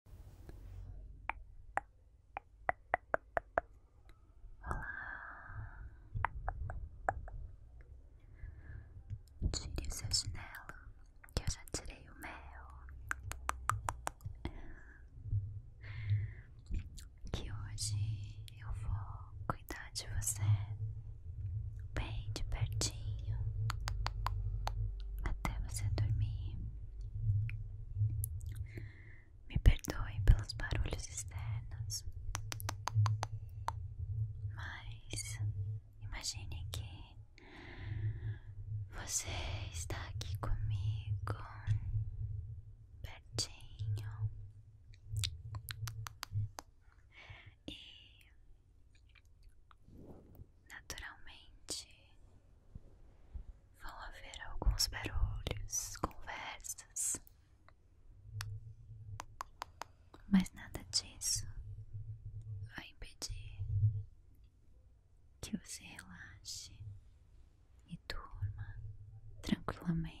Olá, tire o seu chinelo que eu já tirei o mel. Que hoje eu vou cuidar de você bem de pertinho até você dormir. Me perdoe pelos barulhos externos, mas imagine que você está aqui comigo, pertinho, e naturalmente Vão haver alguns barulhos, conversas, mas nada disso vai impedir que você relaxe e durma tranquilamente.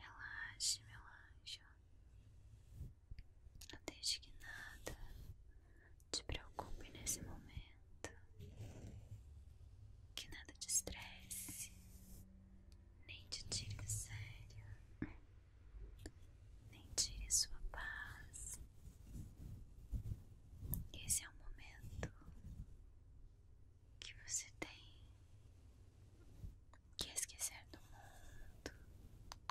Relaxe, relaxa não deixe que nada te preocupe nesse momento, que nada te estresse, nem te tire do sério, nem tire sua paz. Esse é o momento que você tem que esquecer do mundo,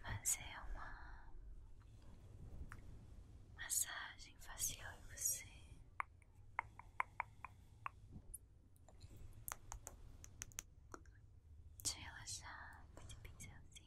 fazer uma massagem facial em você. Te relaxar com esse pincelzinho.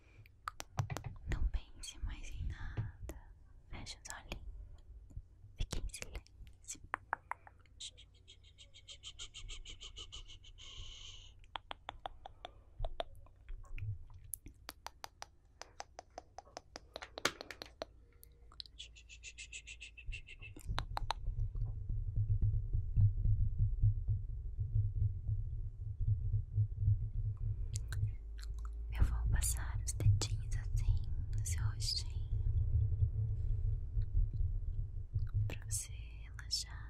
Não pense mais em nada. Feche os olhos. Fique em silêncio. Eu vou passar os dedinhos assim no seu rostinho pra você relaxar.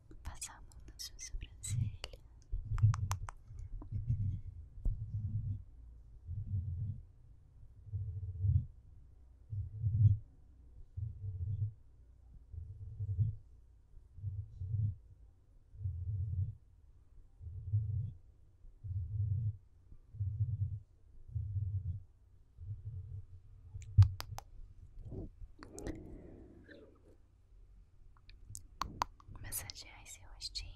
passamos na sua sobrancelha. Massagear esse rostinho.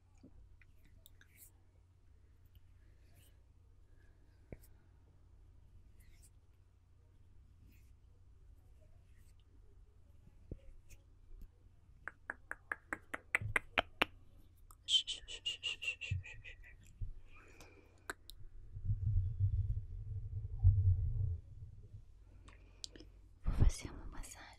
Vou fazer uma massagem